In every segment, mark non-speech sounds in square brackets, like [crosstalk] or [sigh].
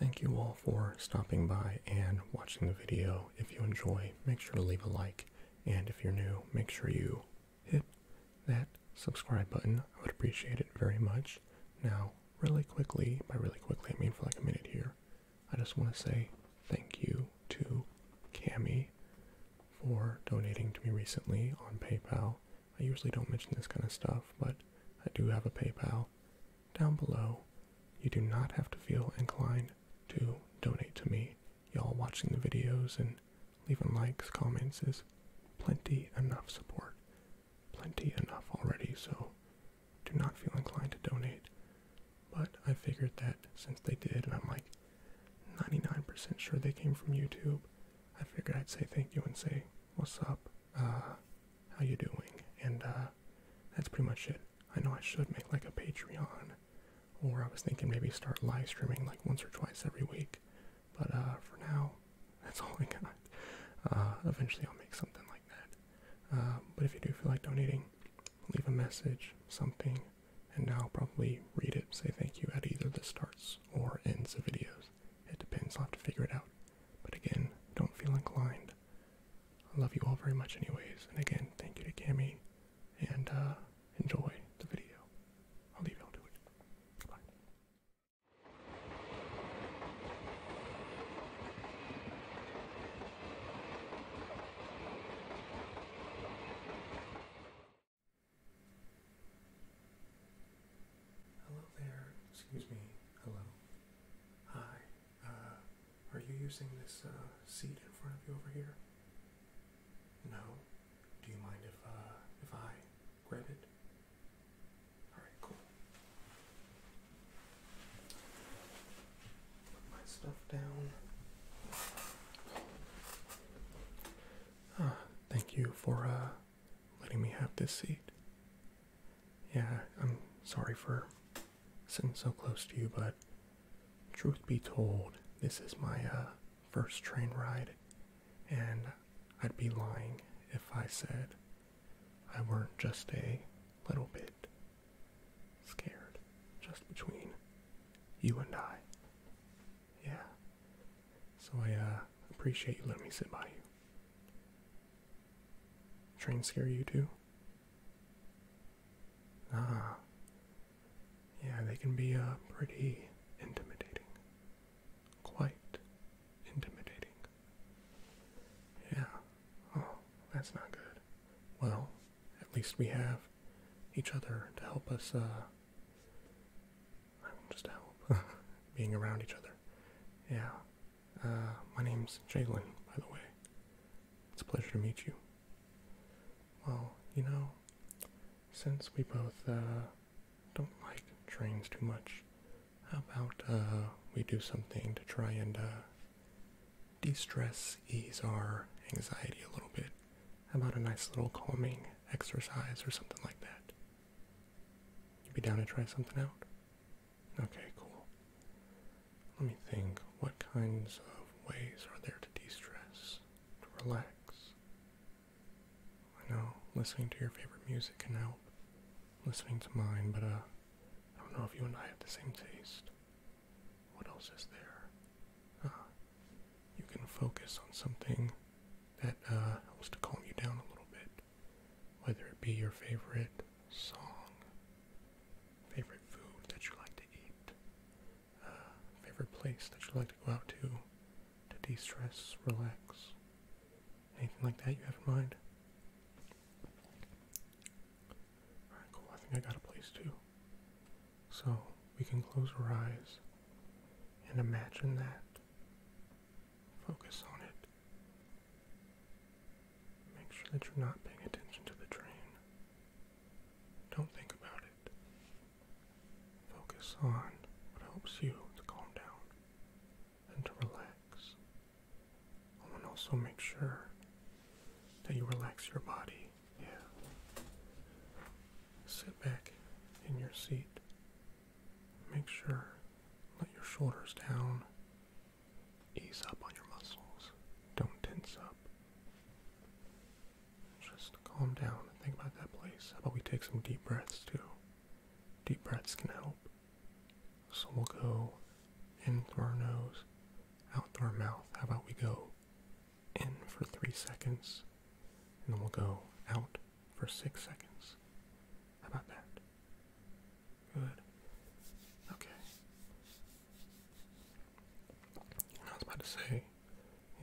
Thank you all for stopping by and watching the video. If you enjoy, make sure to leave a like. And if you're new, make sure you hit that subscribe button. I would appreciate it very much. Now, really quickly, by really quickly I mean for like a minute here, I just want to say thank you to Cami for donating to me recently on PayPal. I usually don't mention this kind of stuff, but I do have a PayPal down below. You do not have to feel inclined to donate to me. Y'all watching the videos and leaving likes, comments is plenty enough support. Plenty enough already, so do not feel inclined to donate. But I figured that since they did, and I'm like 99% sure they came from YouTube, I figured I'd say thank you and say, what's up? uh, how you doing, and uh, that's pretty much it. I know I should make like a Patreon, or I was thinking maybe start live streaming like once or twice every week, but uh, for now, [laughs] that's all I got. Uh, eventually, I'll make something like that. Uh, but if you do feel like donating, leave a message, something, and now I'll probably read it, say thank you at either the starts or ends of videos. It depends, I'll have to figure it out. But again, don't feel inclined. I love you all very much anyways. And again, thank you to Cami and uh, enjoy the video. I'll leave y'all to it. Bye. Hello there. Excuse me. Hello. Hi. Uh, are you using this uh, seat in front of you over here? No. Do you mind if uh, if I grab it? All right. Cool. Put my stuff down. Ah, thank you for letting me have this seat. Yeah, I'm sorry for sitting so close to you, but truth be told, this is my uh, first train ride, and I'd be lying if I said I weren't just a little bit scared, just between you and I. Yeah. So I uh, appreciate you letting me sit by you. Train scare you too? Ah. Yeah, they can be uh, pretty intimidating. Quite intimidating. Yeah. Oh, that's not good. Well, at least we have each other to help us uh, I mean, help [laughs] being around each other. Yeah. Uh, my name's Jaylen, by the way. It's a pleasure to meet you. Well, you know, since we both uh, don't like trains too much, how about uh, we do something to try and de-stress, ease our anxiety a little bit? How about a nice little calming exercise or something like that? You be down to try something out? Okay, cool. Let me think. What kinds of ways are there to de stress, to relax? I know listening to your favorite music can help. Listening to mine, but uh, I don't know if you and I have the same taste. What else is there? Ah, you can focus on something that uh, helps to calm you down a little bit whether it be your favorite song, favorite food that you like to eat, uh, favorite place that you like to go out to to de-stress, relax, anything like that you have in mind. Alright, cool. I think I got a place too. So we can close our eyes and imagine that Focus on it. Make sure that you're not paying attention to the train. Don't think about it. Focus on what helps you to calm down and to relax. And also make sure that you relax your body. Yeah. Sit back in your seat Make sure, let your shoulders down. Ease up on your muscles. Don't tense up. Just calm down and think about that place. How about we take some deep breaths too? Deep breaths can help. So we'll go in through our nose, out through our mouth. How about we go in for three seconds and we'll go out for six seconds. How about that? Good. Okay. I was about to say,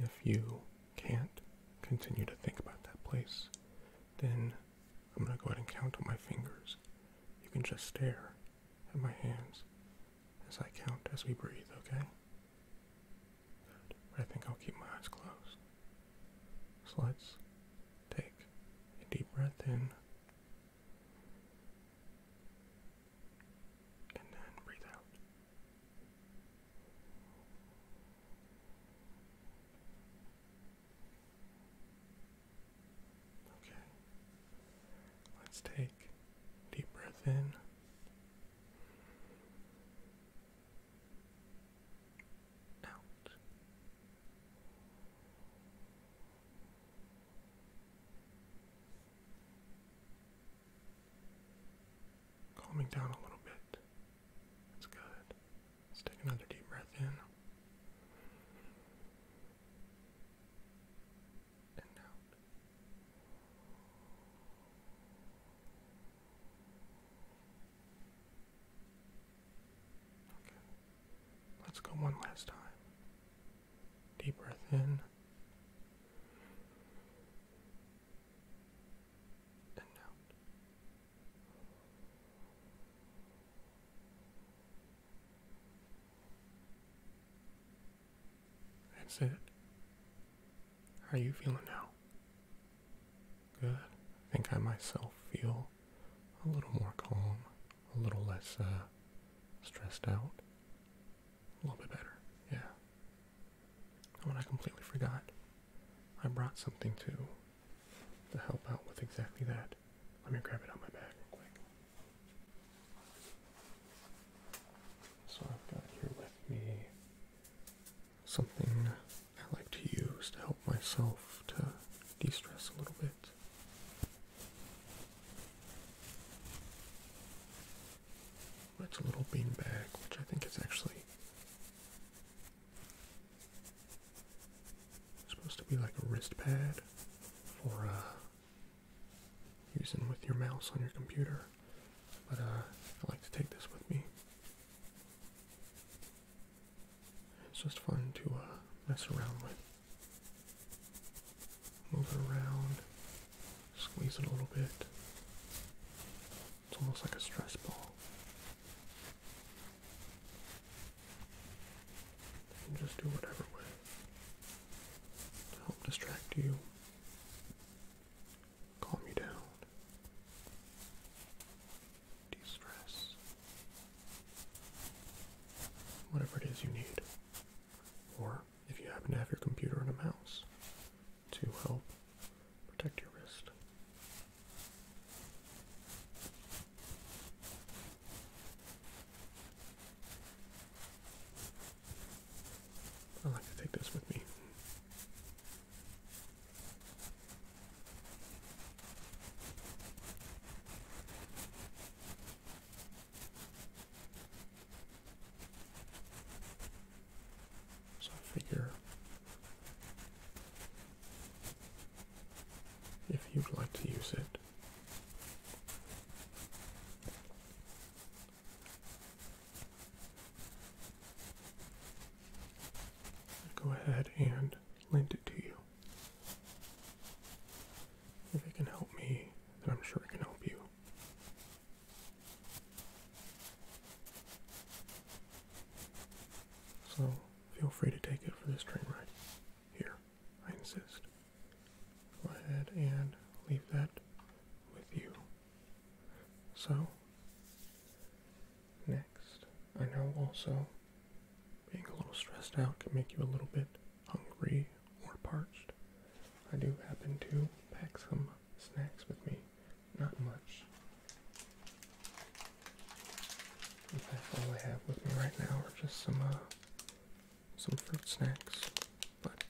if you can't continue to think about that place, then I'm going to go ahead and count on my fingers. You can just stare at my hands as I count as we breathe, okay? but I think I'll keep my eyes closed. So let's take a deep breath in and then breathe out. Okay. Let's take a deep breath in out. Calming down a little bit. That's good. Let's take another deep breath in. And out. Let's go one last time. Deep breath in. And out. That's it. How are you feeling now? Good. I think I myself feel a little more calm, a little less uh, stressed out, a little bit better. Yeah. Oh, and I completely forgot. I brought something too to help out with exactly that. Let me grab it out my bag quick. So I've got here with me something I like to use to help myself to de stress a little bit. It's a little beanbag, which I think is actually supposed to be like a wrist pad for uh, using with your mouse on your computer. But uh, I like to take this with me. It's just fun to uh, mess around with. Move it around, squeeze it a little bit. It's almost like a stress ball. just do whatever with to help distract you calm me down, de stress, whatever it is you need. Or if you happen to have your computer and a mouse to help protect your wrist. I like to take this with me so figure if you'd like to use it, go ahead and lend it to you. If it can help me, then I'm sure it can help you. So feel free to take it for this train ride. Here, I insist. Go ahead and leave that with you. So, next, I know also being a little stressed out can make you a little bit hungry or parched. I do happen to pack some snacks with me, not much. In all I have with me right now are just some uh, some fruit snacks. But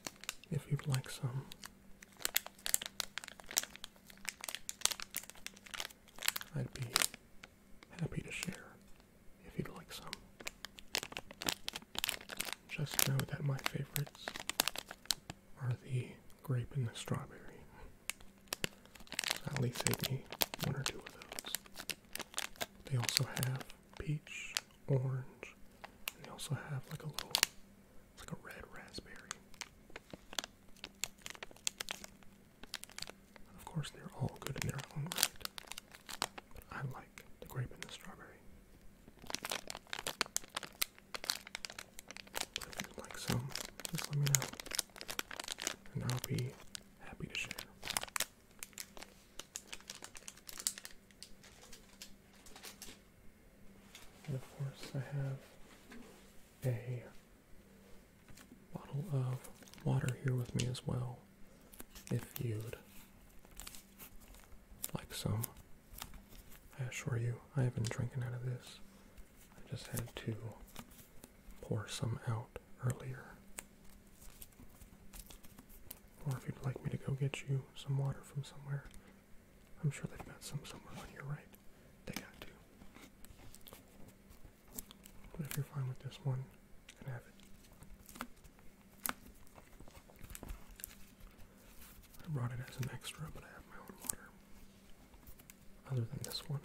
if you'd like some, I'd be happy to share if you'd like some. Just know that my favorites are the grape and the strawberry. at least save me one or two of those. They also have peach, orange, and they also have like a little it's like a red raspberry. of course, they're all good in their own right. I like the grape and the strawberry. if you'd like some, just let me know. And I'll be happy to share. And of course, I have a bottle of water here with me as well, if you'd like some. I assure you, I have been drinking out of this. I just had to pour some out earlier. Or if you'd like me to go get you some water from somewhere, I'm sure they've got some somewhere on your right. They got two. But if you're fine with this one, and have it. I brought it as an extra, but I have my own water. Other than this one.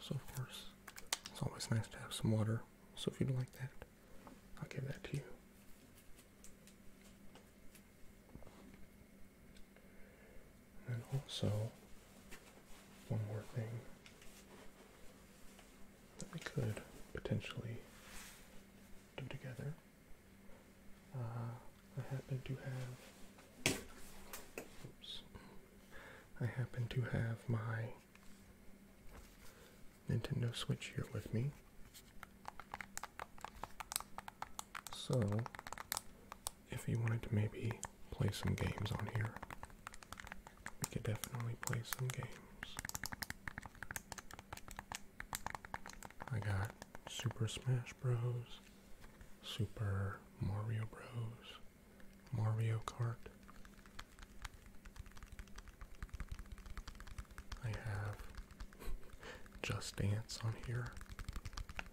So, of course, it's always nice to have some water. So, if you'd like that, I'll give that to you. And also, one more thing that we could potentially do together. Uh, I happen to have. Oops. I happen to have my Nintendo Switch here with me. So, if you wanted to maybe play some games on here, we could definitely play some games. I got Super Smash Bros., Super Mario Bros., Mario Kart. I have [laughs] Just Dance on here.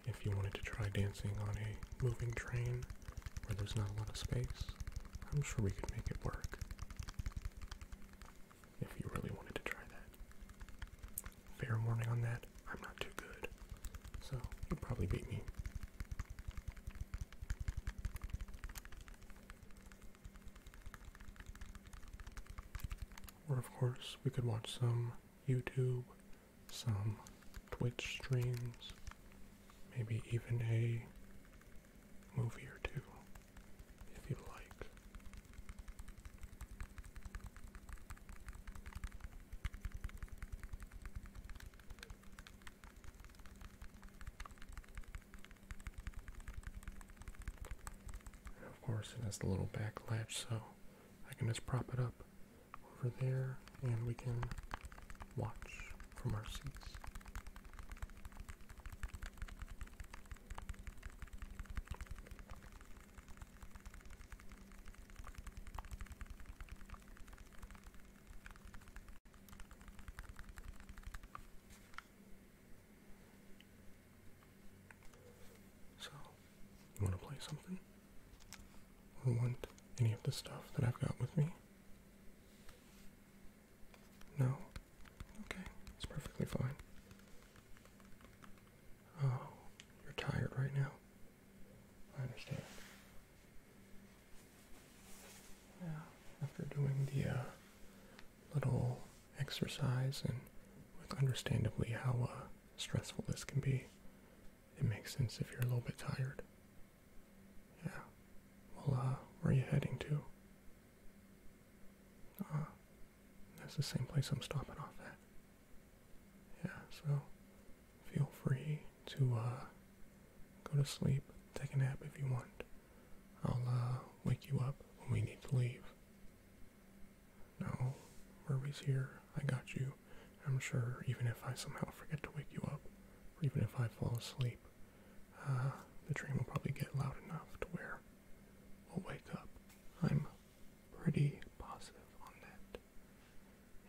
If you wanted to try dancing on a moving train where there's not a lot of space, I'm sure we could make it work. If you really wanted to try that. Fair warning on that, I'm not too good. So you'll probably beat me or, of course, we could watch some YouTube, some Twitch streams, maybe even a movie or two, if you like of course it has the little back latch so I can just prop it up over there and we can watch from our seats. So, you want to play something? Or want any of the stuff that I've got with me? No? Okay, it's perfectly fine. Oh, you're tired right now? I understand. Yeah, after doing the uh, little exercise and with understandably how uh, stressful this can be, it makes sense if you're a little bit tired. Yeah. Well, uh, where are you heading to? Ah, that's the same place I'm stopping off at. Yeah, so feel free to uh, go to sleep, take a nap if you want. I'll uh, wake you up when we need to leave. No, worries here. I got you. I'm sure even if I somehow forget to wake you up, or even if I fall asleep, uh, the train will probably get loud enough to where we'll wake up. I'm pretty positive on that.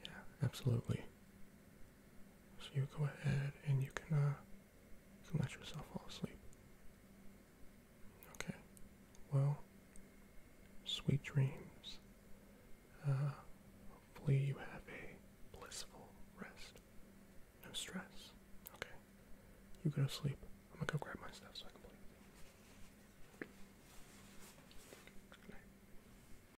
Yeah, absolutely. So you go ahead and uh, you can, let yourself fall asleep. Okay. Well, sweet dreams. Uh, hopefully you have a blissful rest. No stress. Okay. You go to sleep. I'm gonna go grab my stuff so I can play.